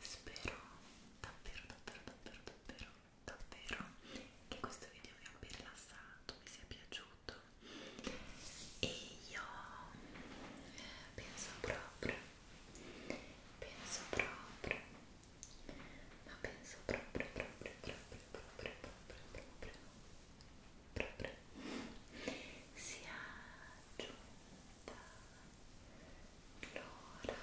Spero davvero, davvero, davvero, davvero, davvero che questo video vi abbia rilassato, vi sia piaciuto e io penso proprio, penso proprio, ma penso proprio, proprio, proprio, proprio, proprio, proprio, proprio proprio sia giunta l'ora Passare le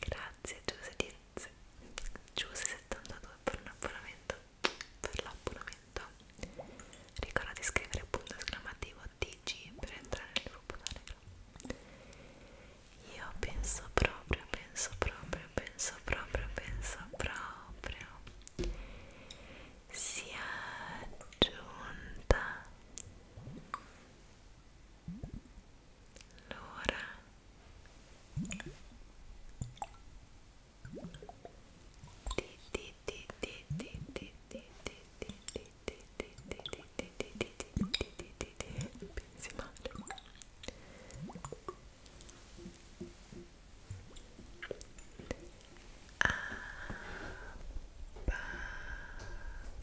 Grazie Giuse72 Giuse per l'abbonamento per l'abbonamento ricorda di scrivere punto esclamativo TG per entrare nel gruppo Telegram io penso proprio, penso proprio, penso proprio, penso proprio sia giunta allora Abbassare,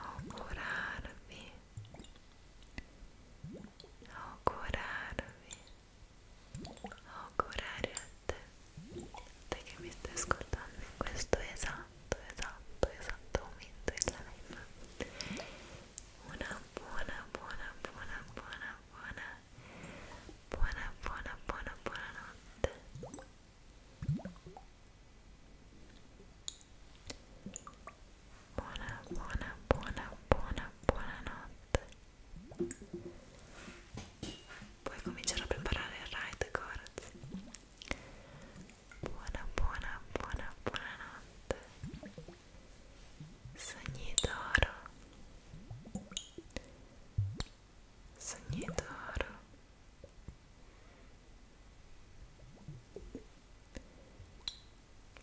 Augurarvi, augurarvi, augurare te, te che mi stai ascoltando in questo esatto, esatto, momento Una buona, buona, buona, buona, buona, buona, buona, buona, buona notte. Buona, buona, buona, buona, buona notte. Puoi cominciare a preparare il ride, corzi. Buona, buona, buona, buona notte. Sogni d'oro. Sanitaro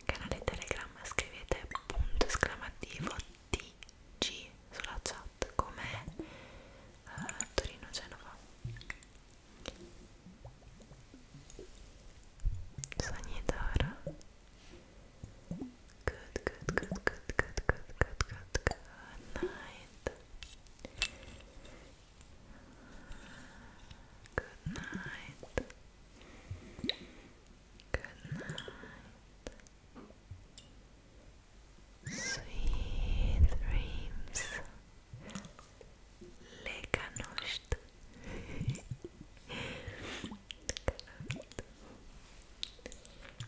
canale telegram scrivete punto esclamativo TG sulla chat come uh, Torino Genova Sanitara Good, good, good, good, good, good, good, good, good, good night Good night. Good night. Sweet dreams. Lekanost.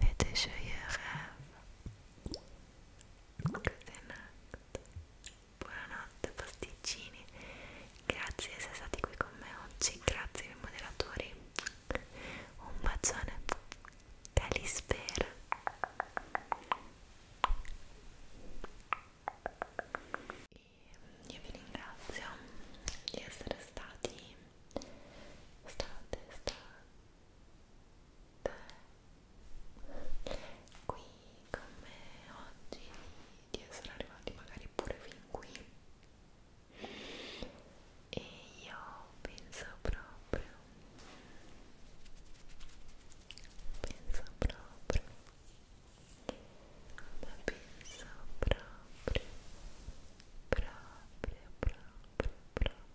et de joyeux rêves. Buonanotte, buonanotte pasticcini. Grazie di essere stati qui con me oggi, grazie ai moderatori. Un bacione, Calispera. Io vi ringrazio di essere stati state, state te qui con me oggi di essere arrivati magari pure fin qui e io penso proprio penso proprio ma penso proprio proprio proprio proprio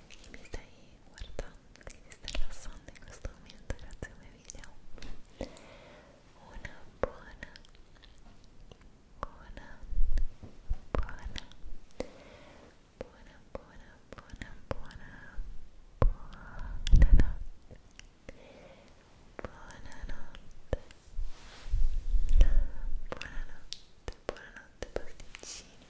che mi stai guardando, che ti stai rilassando in questo momento grazie ai miei video una buona, buona, buona, buona, buona, buona, buona, buona notte buonanotte buonanotte, buonanotte pasticcini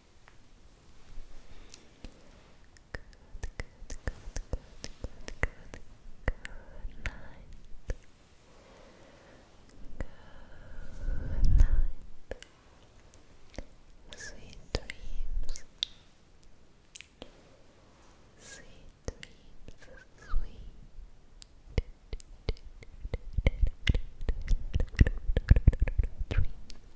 good, good, good, good, good, good night good night sweet dreams sweet dreams, sweet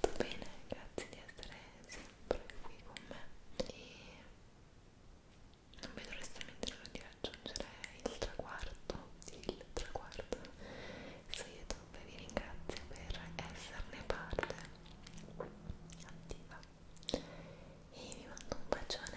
Tutto bene, grazie di essere sempre qui con me e non vedo restamente l'ora di raggiungere il traguardo, il traguardo. Su YouTube vi ringrazio per esserne parte attiva e vi mando un bacione.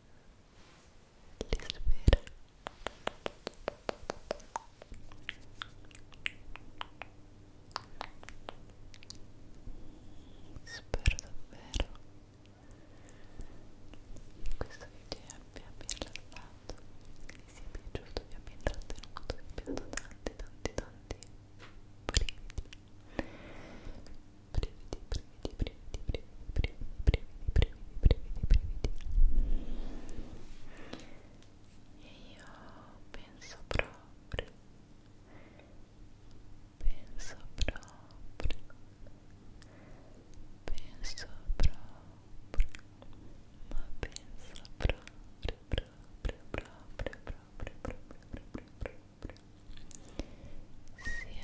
li spera spero davvero che questo video vi abbia rilassato vi sia piaciuto, vi abbia intrattenuto vi abbia dato tanti tanti tanti brividi brividi brividi brividi, brividi, brividi, brividi, brividi, brividi, brividi, brividi. E io penso proprio, penso proprio, penso proprio, ma penso proprio, proprio, proprio, proprio, proprio, proprio, proprio, proprio. Si è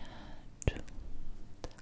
aggiunta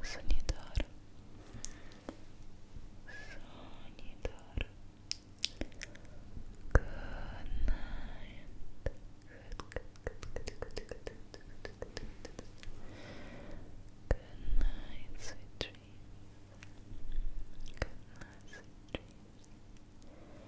Sonidoro Sonidoro Good night Good, good, good, good, good, good, good, good. Good night, sweet dreams Good night, sweet dreams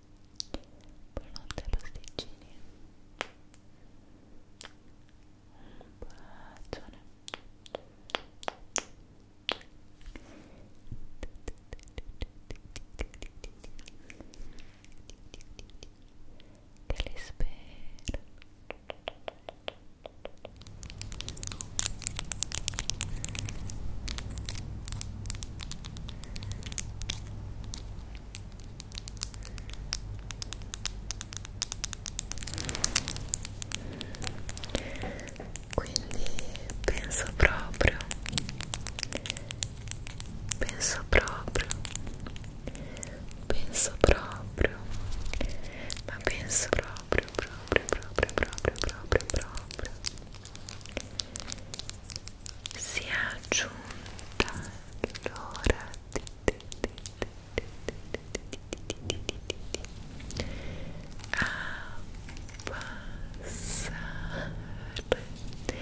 Buonanotte pasticcini Un bacione Che li spero quindi penso proprio penso proprio penso proprio ma penso proprio proprio proprio proprio proprio proprio si è aggiunta l'ora a passare le luci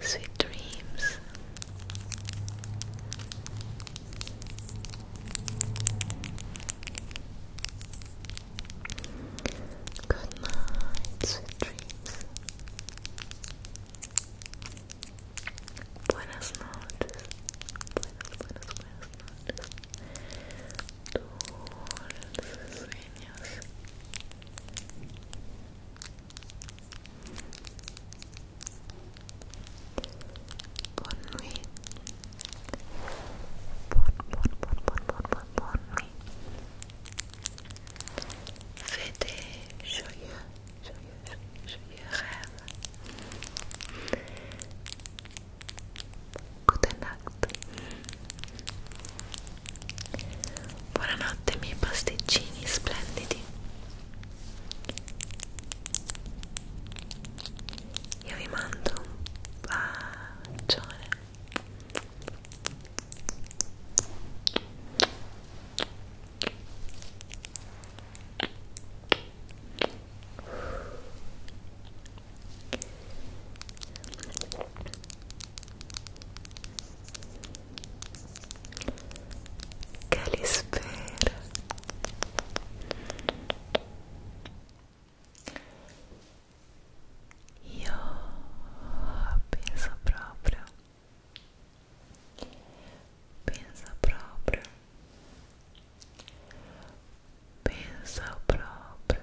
Sweet dreams. Good night, sweet dreams. Buenas noches. Buenas, sueños. Bonne nuit. Bonne, bonne, bonne, bonne, bonne, bonne, bonne nuit. Fais des joyeux, joyeux, joyeux Good night. buonanotte buonanotte miei pasticcini splendidi io vi mando un bacione que Calispera Io penso proprio Penso proprio Penso próprio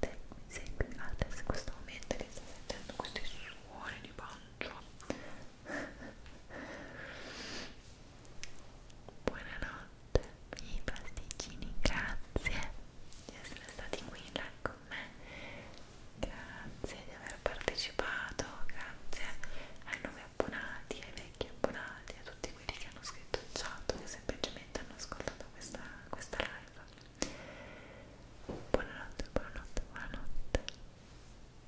mi segui adesso in questo momento che sto sentendo questi suoni di pancia buonanotte i pasticcini grazie di essere stati qui in là con me grazie di aver partecipato grazie ai nuovi abbonati ai vecchi abbonati a tutti quelli che hanno scritto il chat che semplicemente hanno ascoltato questa, questa live Buonanotte, buonanotte, buonanotte.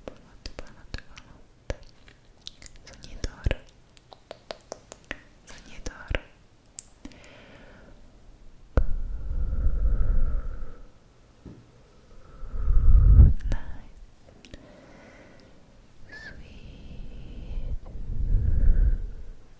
Buonanotte, buonanotte, buonanotte. Sognatore. Sognatore. Night. Sweet.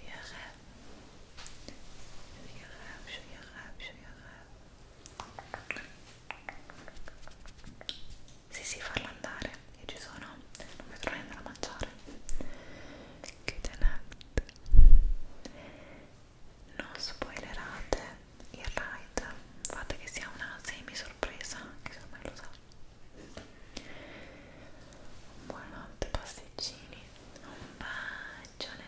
جيغاب جيغاب جيغاب جيغاب sì sì farla andare io ci sono non mi trovo andare a mangiare good night non spoilerate il ride fate che sia una semi sorpresa che se non me lo sa Buonanotte pasticcini, un bacione.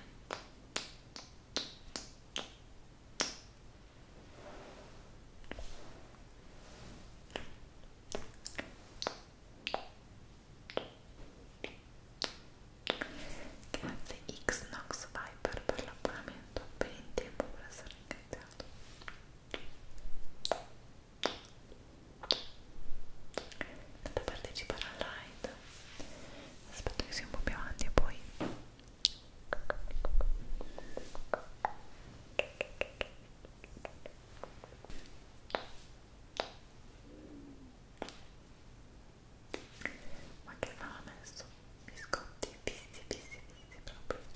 Grazie Xnox Viper per l'abbonamento, ben in tempo per essere ringraziato da partecipare al live aspetto che sia un po' più avanti e poi ma che fa messo biscotti fissi fissi fissi proprio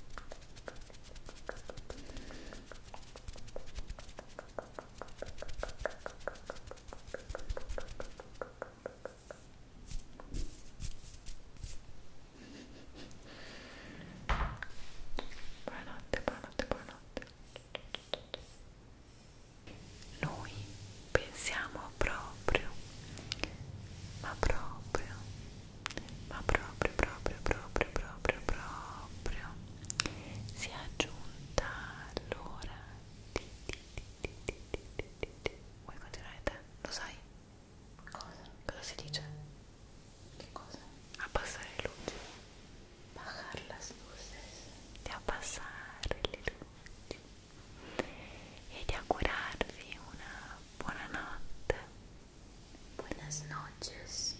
Buonanotte, buonanotte, buonanotte. Noi pensiamo proprio, ma proprio ma proprio proprio proprio proprio proprio si è aggiunta l'ora di, di, di, di, di, di, di, di. vuoi continuare te? lo sai? cosa? cosa si dice? che cosa? abbassare le luci bajarlas luces di abbassare le luci e di augurarvi una buona notte Buenas noches.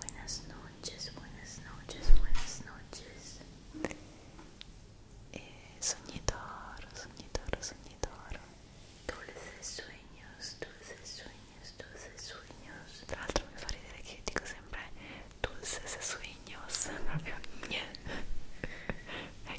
Buenas noches, buenas noches, buenas noches. Buenas noches, buenas noches, Eh, soñador, Dulces sueños, dulces sueños, dulces sueños. De l'altro me fa ridere dico dulces sueños.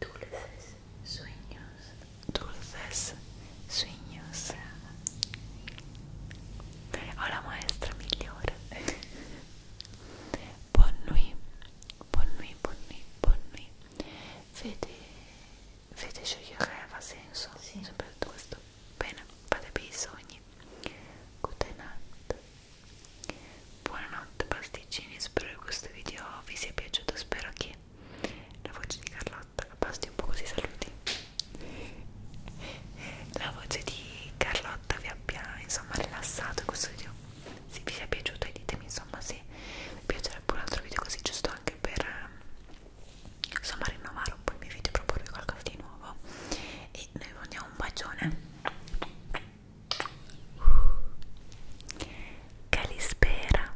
Dulces sueños. Dulces sueños. Ho la maestra migliore. buon nuit, buon nuit, buon nuit, buon nuit. Vede, vede scegliere ha senso. Sì. Sempre detto questo. Bene, fate per i sogni. Goodnight. Buonanotte pasticcini, spero che questo video vi sia piaciuto, spero che la voce di Carlotta basti un po' così saluti la voce di Carlotta vi abbia insomma rilassato questo video se vi sia piaciuto e ditemi insomma se vi piacerebbe un altro video così giusto anche per insomma rinnovare un po' i miei video proporvi qualcosa di nuovo e noi vi mandiamo un bacione Calispera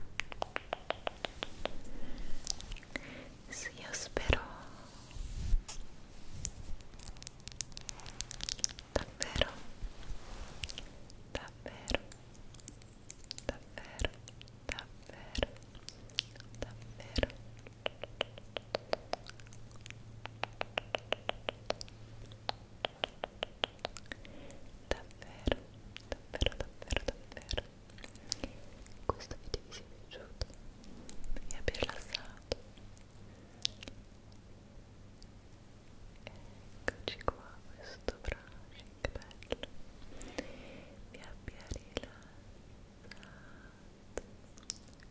sì, io spero davvero davvero davvero davvero davvero davvero davvero davvero davvero questo video vi sia piaciuto vi abbia rilassato eccoci qua questo brushing bello vi abbia rilassato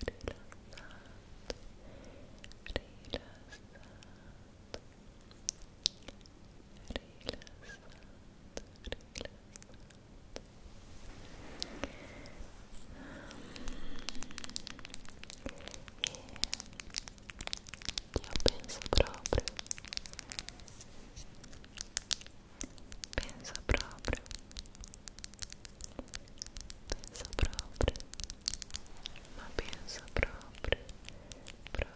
rilassato rilassato penso proprio penso proprio penso proprio ma penso proprio proprio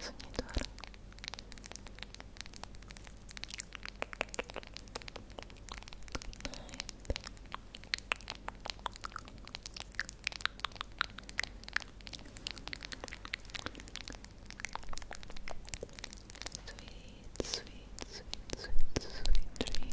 Sognatore Sweet, sweet, sweet, sweet, sweet dreams.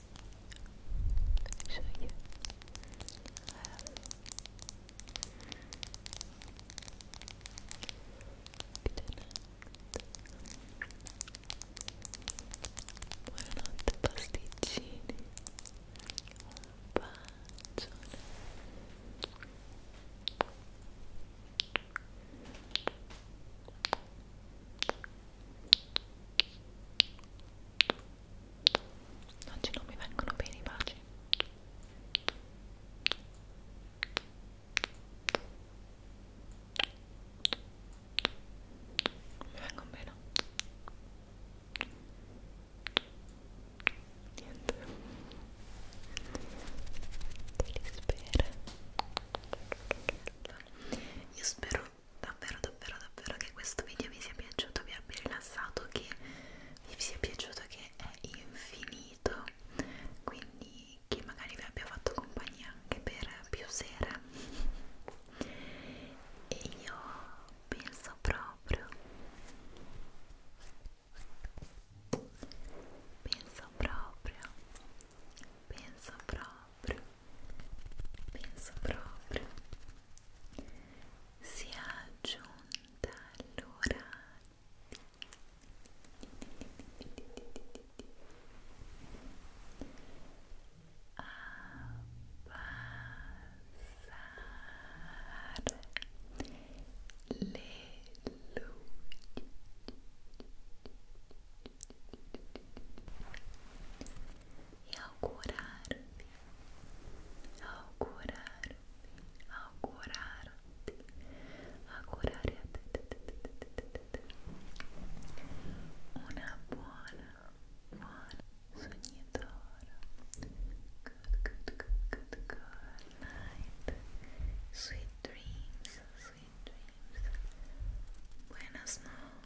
so yeah um, Buonanotte pasticcini Un bacione oggi non mi vengono bene i baci non mi vengono bene niente te li spero io spero davvero davvero davvero che questo video vi sia piaciuto, vi abbia rilassato, che vi sia piaciuto che è infinito, quindi che magari vi abbia fatto compagnia anche per più sera. E io penso proprio, penso proprio penso proprio, penso proprio sia giunta l'ora abbassare le luci e augurarti, augurarti, augurarti, augurare a te, una buona, buona sognatora. Good, good, good, good, good night. Sweet dreams, sweet dreams. Buenas noches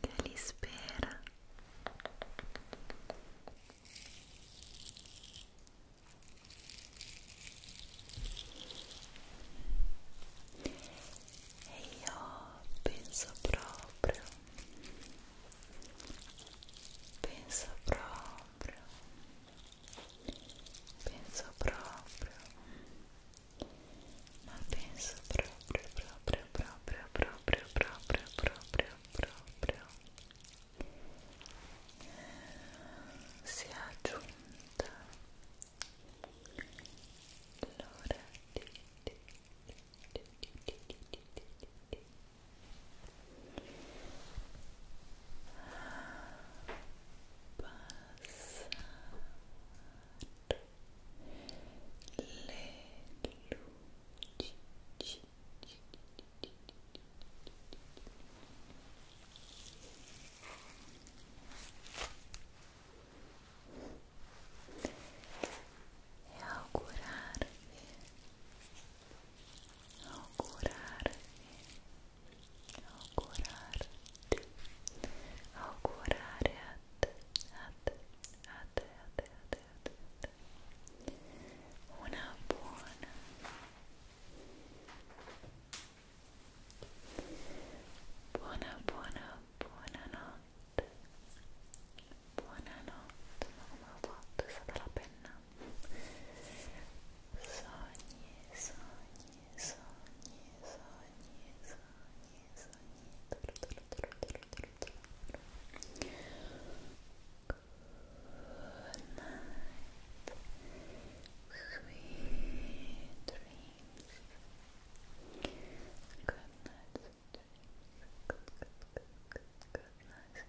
che li spera e io penso proprio penso proprio penso proprio ma penso proprio proprio proprio proprio proprio proprio proprio si è aggiunta l'ora di di di di di di di di é augurar-me, augurar-me augurarti, augurare a te, a te, a te, a te, a te, a te, a te. una buona buona buona buona notte buona notte ma come ho fatto? è stata la penna sogni, sogni, sogni, sogni, sogni, sogni Good sweet dreams Good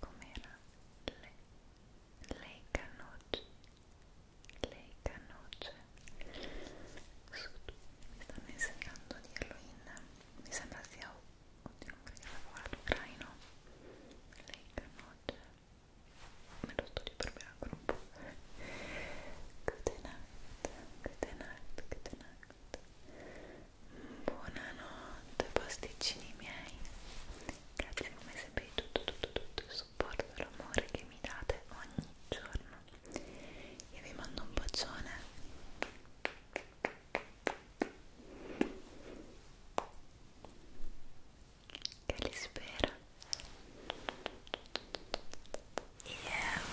com'era? Le, lei canoce lei canoce mi stanno insegnando a dirlo in mi sembra sia oddio non credo lavorato ucraino lei canoce me lo studio per me ancora un po' good night Buonanotte pasticcini miei Grazie come sempre di tutto, tutto, tutto il supporto e l'amore che mi date ogni giorno Io vi mando un bacione Che li spera Yeah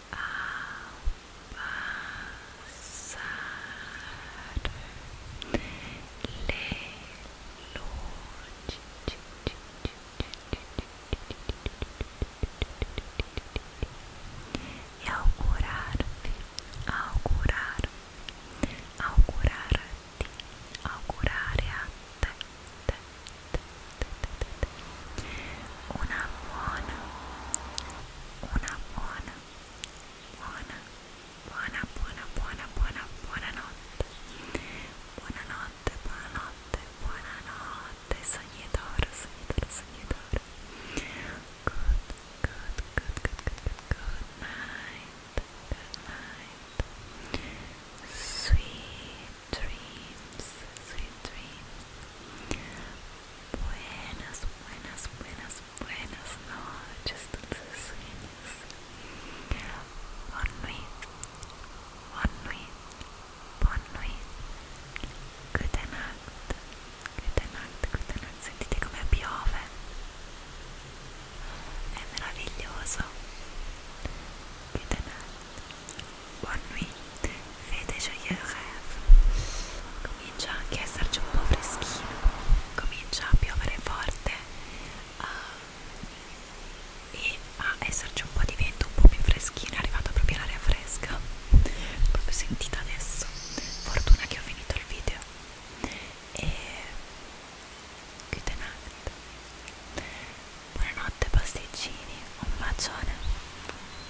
abbassare le luci e augurarvi, augurarti, augurare a te una buona una buona, buona, buona, buona, buona, buona, buona notte. Buonanotte, buonanotte, buonanotte, sognatore, sognatore, sognatore. Good, good, good, good, good, good, good good night. Sweet dreams, sweet dreams. Buenas, buenas, buenas, buenas noches, dulces sueños. Bonne nuit, bonne nuit, bonne nuit. Good night, good night, good night. Sentite come piove. È meraviglioso. Good night, Buon nuit, fede gioia Comincia anche a esserci un po' freschino, comincia a piovere forte uh, e a esserci un po' di vento un po' più freschino, è arrivata proprio l'aria fresca, proprio sentita adesso. Fortuna che ho finito il video. E good night. Buonanotte pasticcini, un bacione.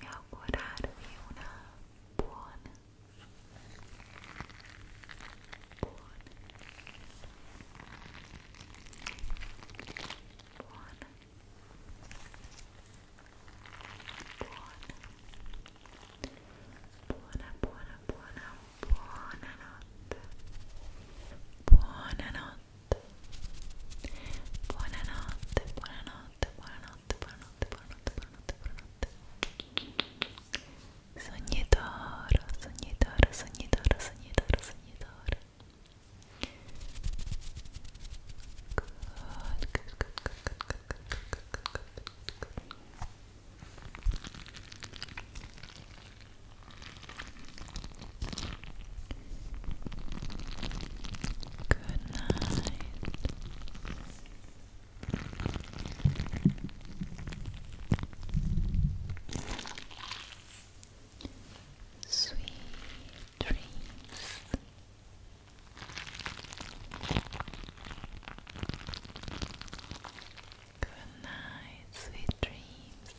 e augurarvi una buona buona buona buona buona buona buona buona notte buona notte buonanotte buonanotte buonanotte buonanotte buonanotte buonanotte buonanotte buonanotte sognitoro sognitoro sognitoro sognitoro sognitoro good good good good good good good good good good good Good night. Sweet dreams. Good night, sweet dreams.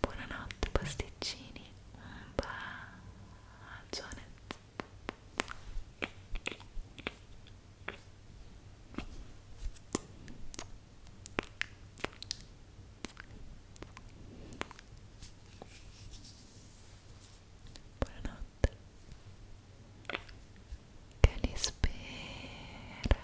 Buonanotte pasticcini, un bacione. Buonanotte. Che li spera.